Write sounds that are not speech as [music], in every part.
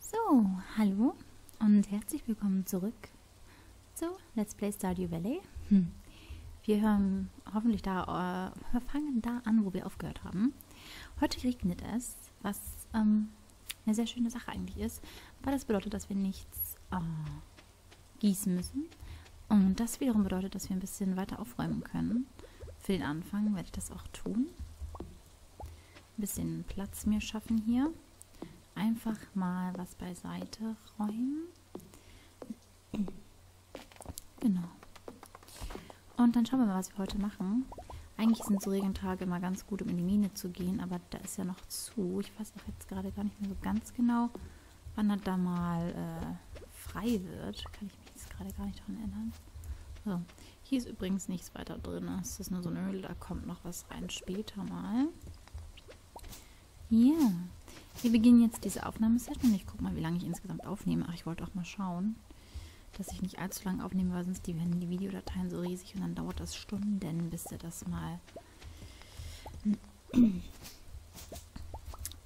So, hallo und herzlich willkommen zurück zu Let's Play Stardew Valley. Hm. Wir hören hoffentlich da, äh, wir fangen da an, wo wir aufgehört haben. Heute regnet es, was ähm, eine sehr schöne Sache eigentlich ist, aber das bedeutet, dass wir nichts äh, gießen müssen. Und das wiederum bedeutet, dass wir ein bisschen weiter aufräumen können. Für den Anfang werde ich das auch tun ein bisschen Platz mir schaffen hier. Einfach mal was beiseite räumen. Genau. Und dann schauen wir mal, was wir heute machen. Eigentlich sind so Regentage immer ganz gut, um in die Mine zu gehen, aber da ist ja noch zu. Ich weiß auch jetzt gerade gar nicht mehr so ganz genau, wann er da mal äh, frei wird. Kann ich ich kann gerade gar nicht daran erinnern. So. Hier ist übrigens nichts weiter drin. Es ist nur so eine Höhle, da kommt noch was rein später mal. Ja. Yeah. Wir beginnen jetzt diese Aufnahmesession. Ich gucke mal, wie lange ich insgesamt aufnehme. Ach, ich wollte auch mal schauen, dass ich nicht allzu lange aufnehme, weil sonst die, werden die Videodateien so riesig und dann dauert das Stunden, bis er das mal [clears throat]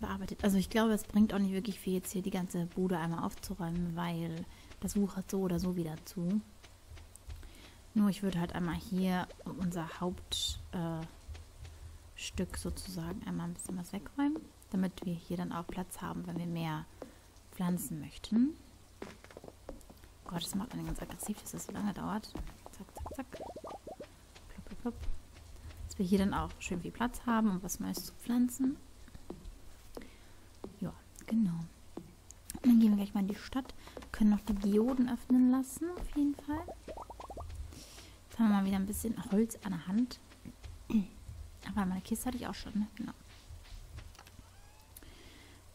bearbeitet. Also ich glaube, es bringt auch nicht wirklich viel, jetzt hier die ganze Bude einmal aufzuräumen, weil das wuchert so oder so wieder zu. Nur ich würde halt einmal hier unser Hauptstück äh, sozusagen einmal ein bisschen was wegräumen, damit wir hier dann auch Platz haben, wenn wir mehr pflanzen möchten. Oh Gott, das macht einen ganz aggressiv, dass das so lange dauert. Zack, zack, zack. Plupp, plupp, plupp. Dass wir hier dann auch schön viel Platz haben, um was Neues zu pflanzen. Ja, genau. Und dann gehen wir gleich mal in die Stadt. Können noch die Geoden öffnen lassen, auf jeden Fall. Jetzt haben wir mal wieder ein bisschen Holz an der Hand. Aber meine Kiste hatte ich auch schon, ne? Genau.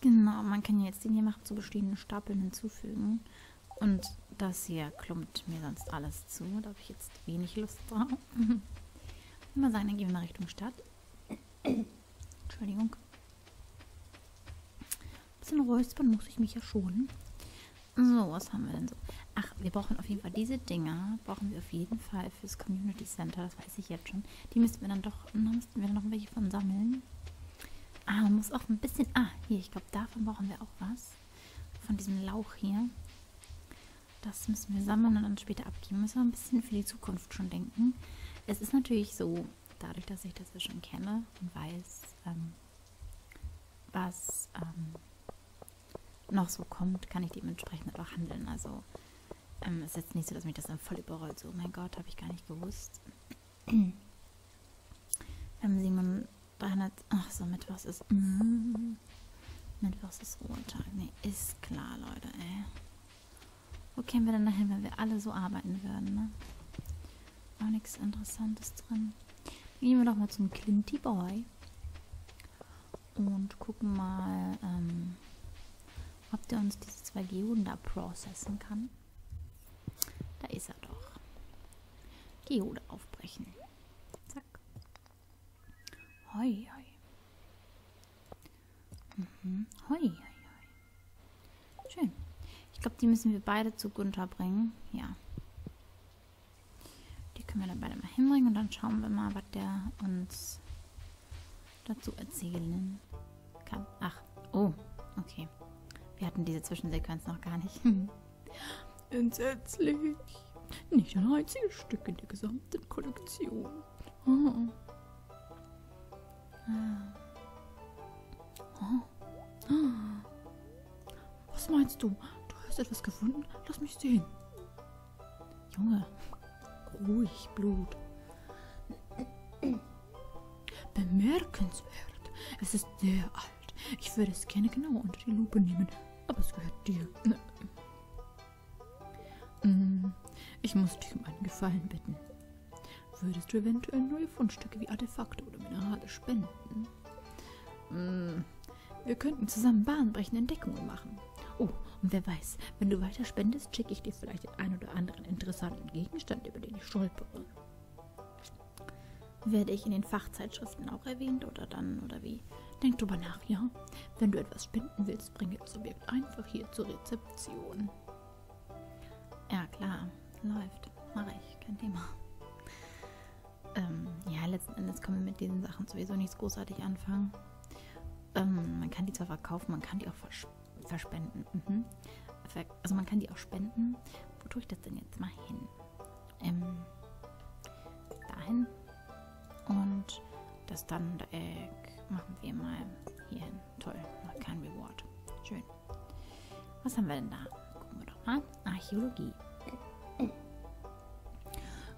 Genau, man kann jetzt den hier machen zu bestehenden Stapeln hinzufügen. Und das hier klumpt mir sonst alles zu. Da habe ich jetzt wenig Lust drauf. Ich würde mal sagen, dann gehen wir mal Richtung Stadt. Entschuldigung. Ein bisschen räuspern muss ich mich ja schon. So, was haben wir denn so? Ach, wir brauchen auf jeden Fall diese Dinger. Brauchen wir auf jeden Fall fürs Community Center. Das weiß ich jetzt schon. Die müssten wir dann doch... Da müssten wir dann noch welche von sammeln. Ah, man muss auch ein bisschen... Ah, hier, ich glaube, davon brauchen wir auch was. Von diesem Lauch hier. Das müssen wir sammeln und dann später abgeben. Müssen wir ein bisschen für die Zukunft schon denken. Es ist natürlich so, dadurch, dass ich das ja schon kenne und weiß, ähm, was ähm, noch so kommt, kann ich dementsprechend auch handeln. Also ähm, ist jetzt nicht so, dass mich das dann voll überrollt. So, oh mein Gott, habe ich gar nicht gewusst. [clears throat] ähm, 700, 300, ach so, Mittwochs ist. Mm, Mittwochs ist Ruhetag. Nee, ist klar, Leute, ey. Wo kämen wir denn dahin, wenn wir alle so arbeiten würden, ne? Auch nichts Interessantes drin. Dann gehen wir doch mal zum Clinty Boy. Und gucken mal, ähm, ob der uns diese zwei Geoden da processen kann. Da ist er doch. Geode aufbrechen. Zack. Hoi, hoi. Mhm. Hoi, hoi, hoi. Schön. Ich glaube, die müssen wir beide zu Gunther bringen. Ja. Die können wir dann beide mal hinbringen und dann schauen wir mal, was der uns dazu erzählen kann. Ach, oh, okay. Wir hatten diese Zwischensequenz noch gar nicht. [laughs] Entsetzlich. Nicht ein einziges Stück in der gesamten Kollektion. Oh. Oh. Oh. Was meinst du? Du hast etwas gefunden? Lass mich sehen. Junge, ruhig, Blut. Bemerkenswert. Es ist sehr alt. Ich würde es gerne genau unter die Lupe nehmen, aber es gehört dir. Mhm. Ich muss dich um einen Gefallen bitten. Würdest du eventuell neue Fundstücke wie Artefakte oder Minerale spenden? Mhm. Wir könnten zusammen bahnbrechende Entdeckungen machen. Oh, und wer weiß, wenn du weiter spendest, schicke ich dir vielleicht den einen oder anderen interessanten Gegenstand, über den ich stolpere. Werde ich in den Fachzeitschriften auch erwähnt oder dann oder wie? Denk drüber nach. Ach ja, wenn du etwas spenden willst, bringe das Objekt einfach hier zur Rezeption. Ja klar, läuft, mache ich, kein Thema. Ähm, ja, letzten Endes kann man mit diesen Sachen sowieso nichts großartig anfangen. Ähm, man kann die zwar verkaufen, man kann die auch vers verspenden. Mhm. Also man kann die auch spenden. Wo tue ich das denn jetzt mal hin? ähm, dahin und das dann äh, machen wir mal hier hin. Toll, noch kein Reward. Schön. Was haben wir denn da? Gucken wir doch mal. Archäologie.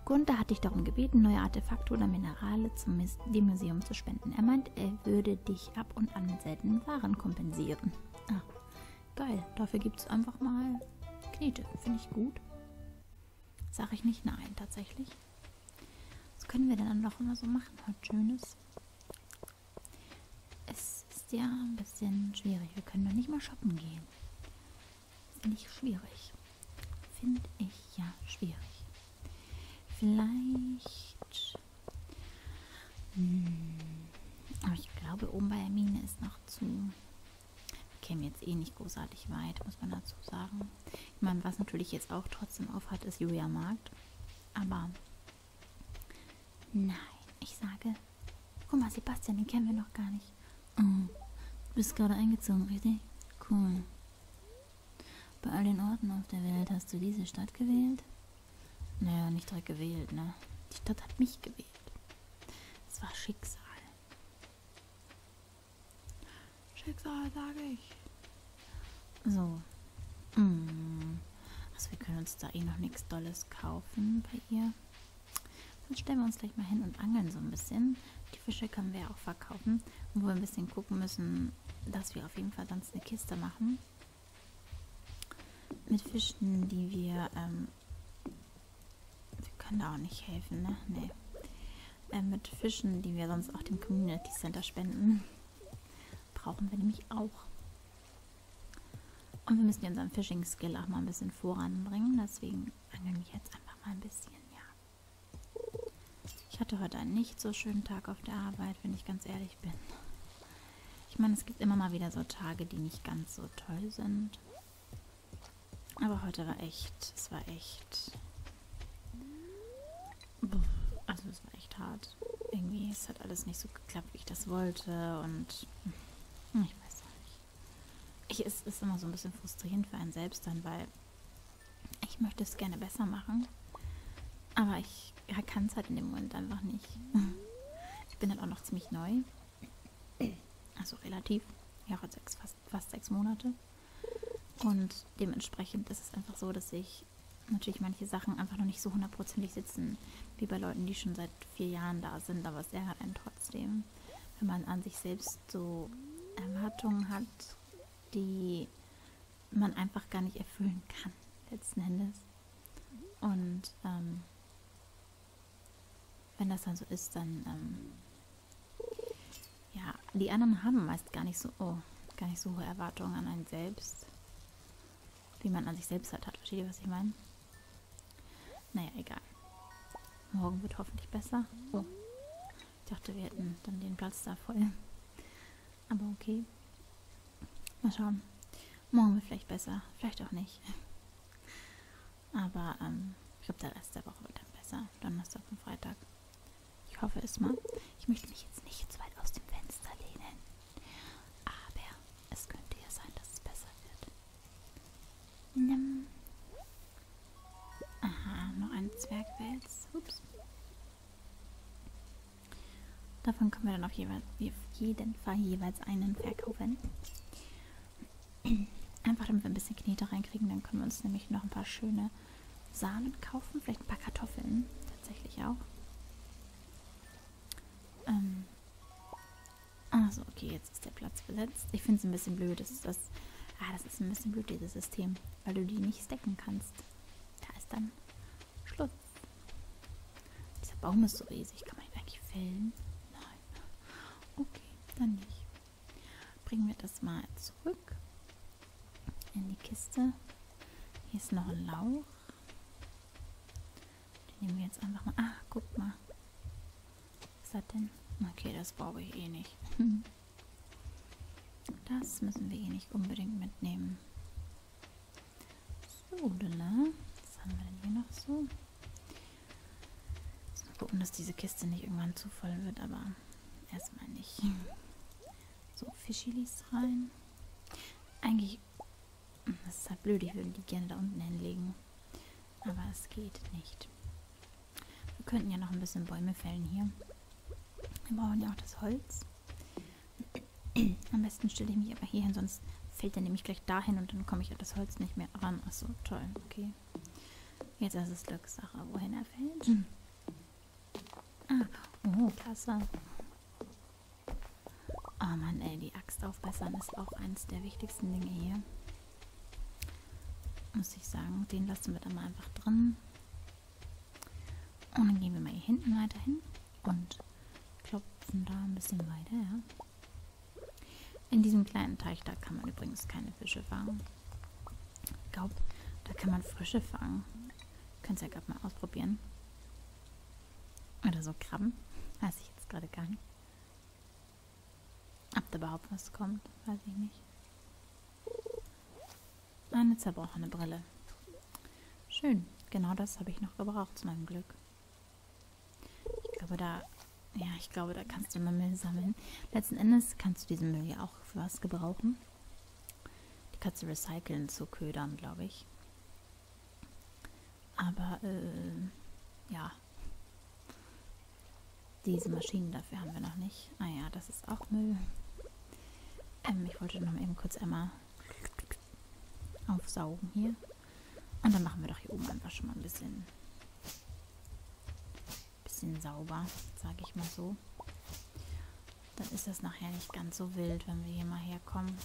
Gunther hat dich darum gebeten, neue Artefakte oder Minerale zum dem Museum zu spenden. Er meint, er würde dich ab und an mit seltenen Waren kompensieren. Ah, Geil, dafür gibt es einfach mal Knete. Finde ich gut. Sag ich nicht nein, tatsächlich. Was können wir denn dann doch immer so machen? Heute halt Schönes. Es ist ja ein bisschen schwierig. Wir können doch nicht mal shoppen gehen. Finde ich schwierig. Finde ich ja schwierig. Vielleicht. Hm. Aber ich glaube, oben bei der Mine ist noch zu käme jetzt eh nicht großartig weit, muss man dazu sagen. Ich meine, was natürlich jetzt auch trotzdem aufhat, ist Julia Markt. Aber nein, ich sage, guck mal, Sebastian, den kennen wir noch gar nicht. Oh, du bist gerade eingezogen, richtig? Cool. Bei all den Orten auf der Welt hast du diese Stadt gewählt? Naja, nicht direkt gewählt, ne? Die Stadt hat mich gewählt. Es war Schicksal. Schicksal, sage ich. So. Mm. Also wir können uns da eh noch nichts Dolles kaufen bei ihr. Dann stellen wir uns gleich mal hin und angeln so ein bisschen. Die Fische können wir ja auch verkaufen. Wo wir ein bisschen gucken müssen, dass wir auf jeden Fall sonst eine Kiste machen. Mit Fischen, die wir ähm, wir können da auch nicht helfen, ne? Nee. Äh, mit Fischen, die wir sonst auch dem Community Center spenden, brauchen wir nämlich auch. Und wir müssen ja unseren Fishing-Skill auch mal ein bisschen voranbringen. Deswegen angeln wir jetzt einfach mal ein bisschen, ja. Ich hatte heute einen nicht so schönen Tag auf der Arbeit, wenn ich ganz ehrlich bin. Ich meine, es gibt immer mal wieder so Tage, die nicht ganz so toll sind. Aber heute war echt, es war echt. Also es war echt hart. Irgendwie, es hat alles nicht so geklappt, wie ich das wollte. Und hm, ich weiß auch nicht. Ich, es ist immer so ein bisschen frustrierend für einen selbst dann, weil ich möchte es gerne besser machen. Aber ich kann es halt in dem Moment einfach nicht. [laughs] Ich bin halt auch noch ziemlich neu also relativ, ja, sechs, fast, fast sechs Monate. Und dementsprechend ist es einfach so, dass ich natürlich manche Sachen einfach noch nicht so hundertprozentig sitzen, wie bei Leuten, die schon seit vier Jahren da sind. Aber es ärgert einen trotzdem, wenn man an sich selbst so Erwartungen hat, die man einfach gar nicht erfüllen kann, letzten Endes. Und ähm, wenn das dann so ist, dann ähm, ja, die anderen haben meist gar nicht so, oh, gar nicht so hohe Erwartungen an einen selbst, wie man an sich selbst halt hat. Versteht ihr, was ich meine? Naja, egal. Morgen wird hoffentlich besser. Oh, ich dachte, wir hätten dann den Platz da voll. Aber okay. Mal schauen. Morgen wird vielleicht besser, vielleicht auch nicht. Aber ähm, ich glaube, der Rest der Woche wird dann besser. Donnerstag und Freitag. Ich hoffe es mal. Ich möchte mich jetzt nicht zu weit aus dem Fenster lehnen. Aber es könnte ja sein, dass es besser wird. Nimm. Aha, noch ein Zwergwels. Ups. Davon können wir dann auf jeden Fall jeweils einen verkaufen. Einfach damit wir ein bisschen Knete reinkriegen, dann können wir uns nämlich noch ein paar schöne Samen kaufen. Vielleicht ein paar Kartoffeln tatsächlich auch. Ähm. Also, okay, jetzt ist der Platz besetzt. Ich finde es ein bisschen blöd, dass das. Ah, das ist ein bisschen blöd, dieses System, weil du die nicht stacken kannst. Da ist dann Schluss. Dieser Baum ist so riesig. Kann man ihn eigentlich fällen? Nein. Okay, dann nicht. Bringen wir das mal zurück in die Kiste. Hier ist noch ein Lauch. Den nehmen wir jetzt einfach mal. Ah, guck mal. Was hat denn? Okay, das brauche ich eh nicht. [laughs] Das müssen wir eh nicht unbedingt mitnehmen. So, lala. Was haben wir denn hier noch so? Mal gucken, dass diese Kiste nicht irgendwann zu voll wird, aber erstmal nicht. So, Fischilis rein. Eigentlich, das ist halt blöd, ich würde die gerne da unten hinlegen. Aber es geht nicht. Wir könnten ja noch ein bisschen Bäume fällen hier. Wir brauchen ja auch das Holz. [clears throat] Am besten stelle ich mich aber hier hin, sonst fällt er nämlich gleich dahin und dann komme ich an das Holz nicht mehr ran. Achso, toll, okay. Jetzt ist es Glückssache, wohin er fällt. Hm. Ah, oh, klasse. Oh Mann, ey, die Axt aufbessern ist auch eines der wichtigsten Dinge hier. Muss ich sagen, den lassen wir dann mal einfach drin. Und dann gehen wir mal hier hinten weiter hin und klopfen da ein bisschen weiter. Ja. In diesem kleinen Teich, da kann man übrigens keine Fische fangen. Ich glaube, da kann man Frische fangen. Könnt ihr ja gerade mal ausprobieren. Oder so Krabben. [laughs] Weiß ich jetzt gerade gar nicht. Ob da überhaupt was kommt, weiß ich nicht. Eine zerbrochene Brille. Schön, genau das habe ich noch gebraucht zu meinem Glück. Ich glaube, da. Ja, ich glaube, da kannst du immer Müll sammeln. Letzten Endes kannst du diesen Müll ja auch für was gebrauchen. Die kannst du recyceln zu Ködern, glaube ich. Aber, äh, ja. Diese Maschinen dafür haben wir noch nicht. Ah ja, das ist auch Müll. Ähm, ich wollte noch mal eben kurz einmal aufsaugen hier. Und dann machen wir doch hier oben einfach schon mal ein bisschen, bisschen sauber, sage ich mal so. Dann ist das nachher nicht ganz so wild, wenn wir hier mal herkommen.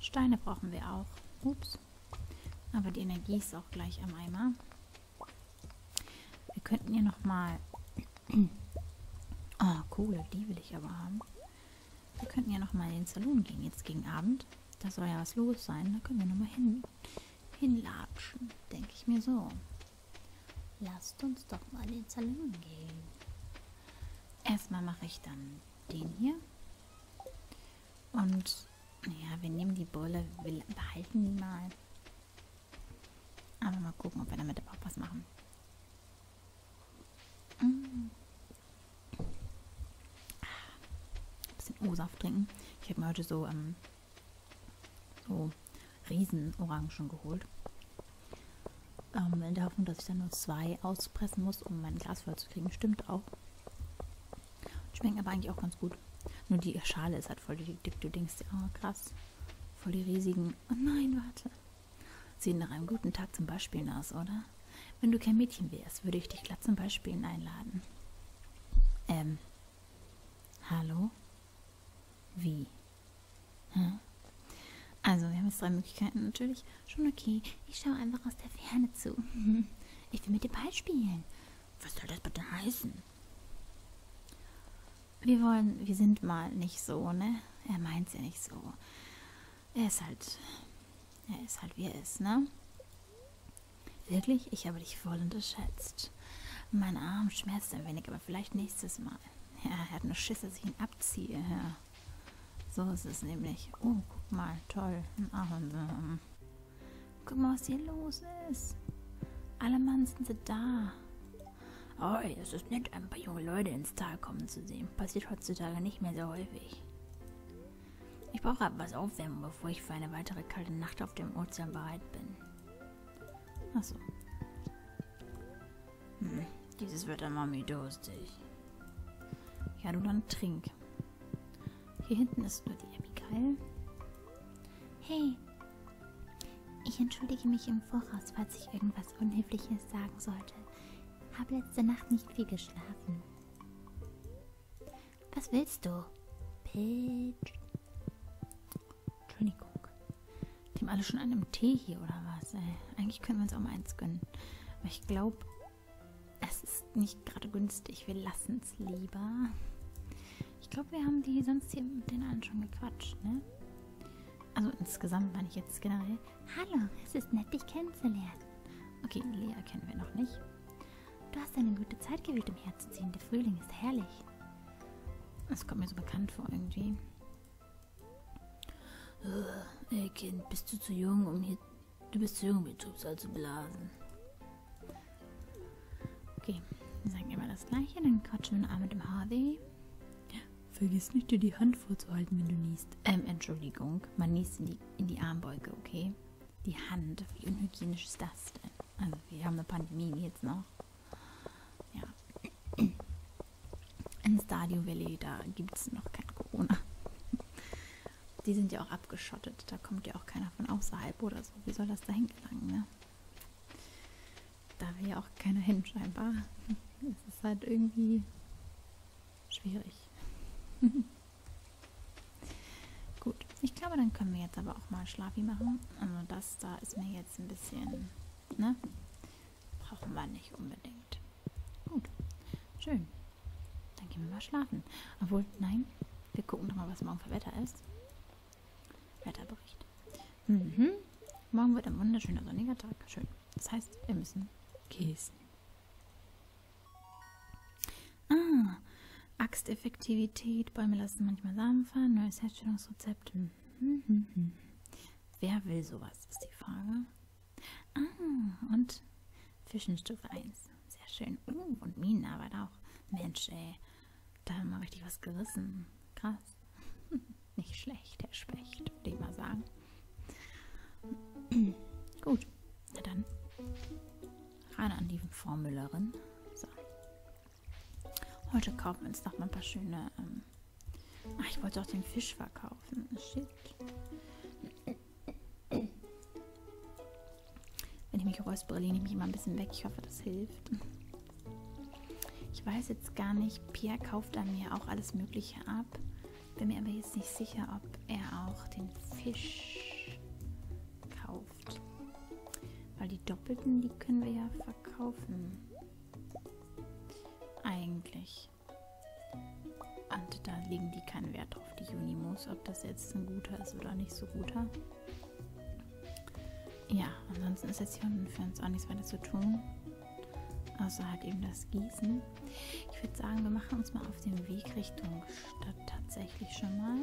Steine brauchen wir auch. Ups. Aber die Energie ist auch gleich am Eimer. Wir könnten hier nochmal... Oh, [clears throat] ah, Kohle, die will ich aber haben. Wir könnten ja nochmal in den Salon gehen, jetzt gegen Abend. Da soll ja was los sein. Da können wir nochmal hin, hinlatschen, denke ich mir so. Lasst uns doch mal in den Salon gehen. Erstmal mache ich dann den hier. Und ja, wir nehmen die Brille, wir behalten die mal. Aber mal gucken, ob wir damit auch was machen. Mm. Ein bisschen O-Saft trinken. Ich habe mir heute so, ähm, so Riesenorangen geholt. Ähm, in der Hoffnung, dass ich dann nur zwei auspressen muss, um mein Glas voll zu kriegen. Stimmt auch. Schmecken aber eigentlich auch ganz gut. Nur die Schale ist halt voll dick. Du denkst, oh krass, voll die riesigen. Oh nein, warte. Sieht nach einem guten Tag zum Beispielen aus, oder? Wenn du kein Mädchen wärst, würde ich dich glatt zum Beispielen einladen. Ähm. Hallo? Wie? Hm? Also, wir haben jetzt drei Möglichkeiten natürlich. Schon okay. Ich schaue einfach aus der Ferne zu. [laughs] ich will mit dir Ball spielen. Was soll das bitte heißen? Wir wollen, wir sind mal nicht so, ne? Er meint's ja nicht so. Er ist halt. Er ist halt wie er ist, ne? Wirklich? Ich habe dich voll unterschätzt. Mein Arm schmerzt ein wenig, aber vielleicht nächstes Mal. Ja, er hat nur Schiss, dass ich ihn abziehe. Ja. So ist es nämlich. Oh, guck mal, toll. Ein Ahorn. Guck mal, was hier los ist. Alle Mann sind sie da. Oh, es ist nett, ein paar junge Leute ins Tal kommen zu sehen. Passiert heutzutage nicht mehr so häufig. Ich brauche etwas Aufwärmen, bevor ich für eine weitere kalte Nacht auf dem Ozean bereit bin. Achso. Hm, dieses Wetter macht mich durstig. Ja, du dann trink. Hier hinten ist nur die Abby geil. Hey, ich entschuldige mich im Voraus, falls ich irgendwas Unhöfliches sagen sollte. Habe letzte Nacht nicht viel geschlafen. Was willst du? Pitch. Entschuldigung. Die haben alle schon an einem Tee hier oder was, ey. Äh, eigentlich können wir uns auch mal eins gönnen. Aber ich glaube, es ist nicht gerade günstig. Wir lassen es lieber. Ich glaube, wir haben die sonst hier mit den allen schon gequatscht, ne? Also insgesamt meine ich jetzt generell. Hallo, es ist nett, dich kennenzulernen. Okay, Lea kennen wir noch nicht. Du hast eine gute Zeit gewählt, um herzuziehen. Der Frühling ist herrlich. Das kommt mir so bekannt vor irgendwie. Oh, ey Kind, bist du zu jung, um hier... Du bist zu jung, um hier Trübsal zu blasen. Okay, wir sagen immer das Gleiche. Dann quatschen wir noch einmal mit dem Harvey. Vergiss nicht, dir die Hand vorzuhalten, wenn du niest. Ähm, Entschuldigung, man niest in die, in die Armbeuge, okay? Die Hand, wie unhygienisch ist das denn? Also, wir haben eine Pandemie jetzt noch. Ja. In Stadio Valley, da gibt es noch kein Corona. Die sind ja auch abgeschottet, da kommt ja auch keiner von außerhalb oder so. Wie soll das da hingelangen, ne? Da will ja auch keiner hin, scheinbar. Es ist halt irgendwie schwierig. [laughs] Gut, ich glaube, dann können wir jetzt aber auch mal Schlafi machen. Also das da ist mir jetzt ein bisschen, ne? Brauchen wir nicht unbedingt. Gut, schön. Dann gehen wir mal schlafen. Obwohl, nein, wir gucken nochmal, was morgen für Wetter ist. Wetterbericht. Mhm. Morgen wird ein wunderschöner sonniger Tag. Schön. Das heißt, wir müssen gießen. Ah, Axteffektivität. Bäume lassen manchmal Samen fallen. Neues Herstellungsrezept. Mhm. mhm, mhm. Wer will sowas, ist die Frage. Ah, und Fischenstufe 1. Sehr schön. Uh, und Minen aber auch. Mensch, ey. Da haben wir richtig was gerissen. Krass. [laughs] Nicht schlecht, Herr Specht, würde ich mal sagen. [clears throat] Gut, na dann. Ran an die Formüllerin. So. Heute kaufen wir uns noch mal ein paar schöne. Ähm Ach, ich wollte auch den Fisch verkaufen. Shit. Wenn ich mich räuspere, lehne ich mich immer ein bisschen weg. Ich hoffe, das hilft. Ich weiß jetzt gar nicht, Pierre kauft an mir auch alles Mögliche ab. Bin mir aber jetzt nicht sicher, ob er auch den Fisch kauft. Weil die Doppelten, die können wir ja verkaufen. Eigentlich. Und da legen die keinen Wert drauf, die Junimos, ob das jetzt ein guter ist oder nicht so guter ja, ansonsten ist jetzt hier unten für uns auch nichts weiter zu tun. Außer halt eben das Gießen. Ich würde sagen, wir machen uns mal auf den Weg Richtung Stadt tatsächlich schon mal.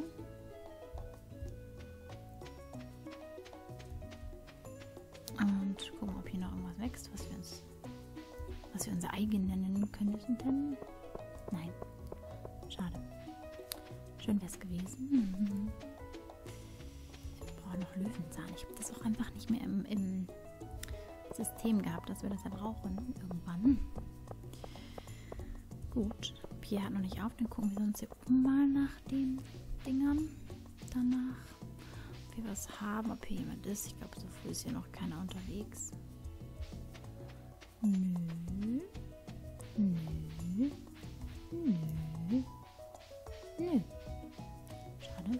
Und gucken, ob hier noch irgendwas wächst, was wir uns, was wir unser eigen nennen könnten. Nein. Schade. Schön wäre es gewesen. Mhm. Ich brauche noch Löwenzahn. Ich habe das auch einfach nicht mehr im, im System gehabt, dass wir das ja brauchen irgendwann. Gut. Pierre hat noch nicht auf. Dann gucken wir uns hier oben mal nach den Dingern. Danach. Ob wir was haben, ob hier jemand ist. Ich glaube, so früh ist hier noch keiner unterwegs. Nö. Nö. Nö. Nö. Hm. Schade.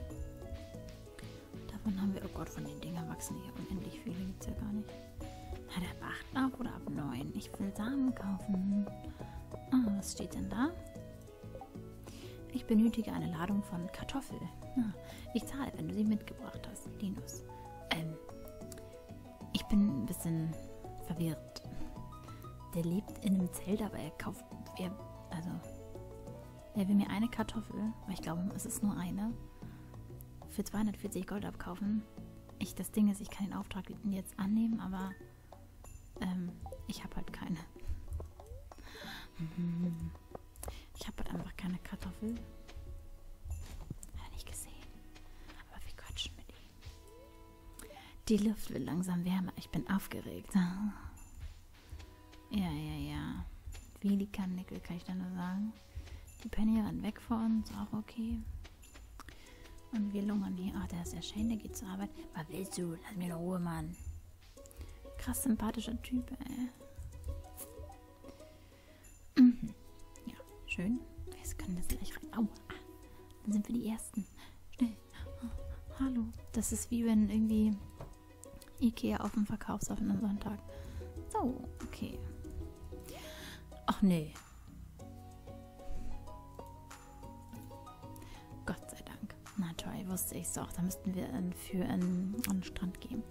Davon haben wir, oh Gott, von den Dingern wachsen hier unendlich viele. Gibt es ja gar nicht. Na, der ab 8 auf oder ab 9? Ich will Samen kaufen. Ah, was steht denn da? Ich benötige eine Ladung von Kartoffel. Ah, ich zahle, wenn du sie mitgebracht hast, Linus. Ähm, ich bin ein bisschen verwirrt. Der lebt in einem Zelt, aber er kauft. Er, also. Er will mir eine Kartoffel, weil ich glaube, es ist nur eine, für 240 Gold abkaufen. Ich, das Ding ist, ich kann den Auftrag jetzt annehmen, aber ähm, ich habe halt keine. [laughs] Ich habe halt einfach keine Kartoffel. Hat er nicht gesehen. Aber wir quatschen mit ihm. Die Luft wird langsam wärmer. Ich bin aufgeregt. Ja, ja, ja. Velikandeckel kann ich da nur sagen. Die Penny ran weg vor uns, auch okay. Und wir lungern hier. Ach, der ist ja schön, der geht zur Arbeit. Was willst du? Lass mir in Ruhe, Mann. Krass sympathischer Typ, ey. Mhm. Ja, schön. Jetzt können das gleich rein. Au ah, dann sind wir die Ersten. Schnell. Oh, äh, hallo. Das ist wie wenn irgendwie Ikea auf dem Verkaufsoffen am Sonntag. So, okay. Ach nee. Gott sei Dank. Na toll, wusste ich es auch. Da müssten wir in, für einen Strand gehen.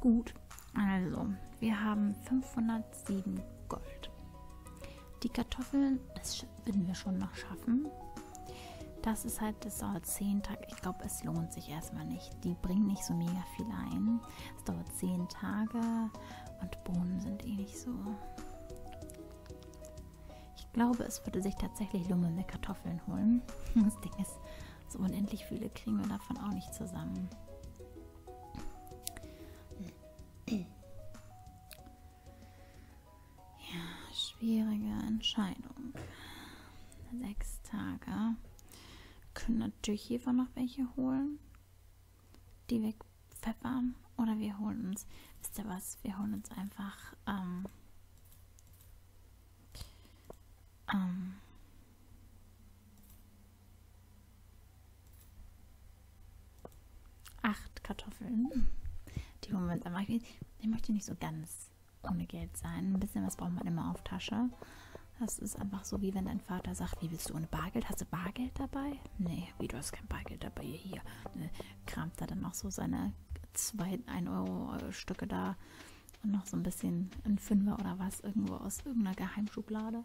Gut, also, wir haben 507 Gold. Die Kartoffeln, das werden wir schon noch schaffen. Das ist halt, das dauert 10 Tage. Ich glaube, es lohnt sich erstmal nicht. Die bringen nicht so mega viel ein. Es dauert 10 Tage und Bohnen sind eh nicht so. Ich glaube, es würde sich tatsächlich lummelnde Kartoffeln holen. [laughs] Das Ding ist, so unendlich viele kriegen wir davon auch nicht zusammen. Ja, schwierige Entscheidung. Sechs Tage. Können natürlich hiervon noch welche holen, die wegpfeffern. Oder wir holen uns, wisst ihr was, wir holen uns einfach, ähm, ähm, Acht Kartoffeln. Die holen wir uns einfach. Ich möchte nicht so ganz ohne Geld sein. Ein bisschen was braucht man immer auf Tasche. Das ist einfach so, wie wenn dein Vater sagt, wie willst du ohne Bargeld? Hast du Bargeld dabei? Nee, wie, du hast kein Bargeld dabei. Hier, hier. Ne, kramt da dann auch so seine zwei 1-Euro-Stücke äh, da und noch so ein bisschen ein Fünfer oder was irgendwo aus irgendeiner Geheimschublade.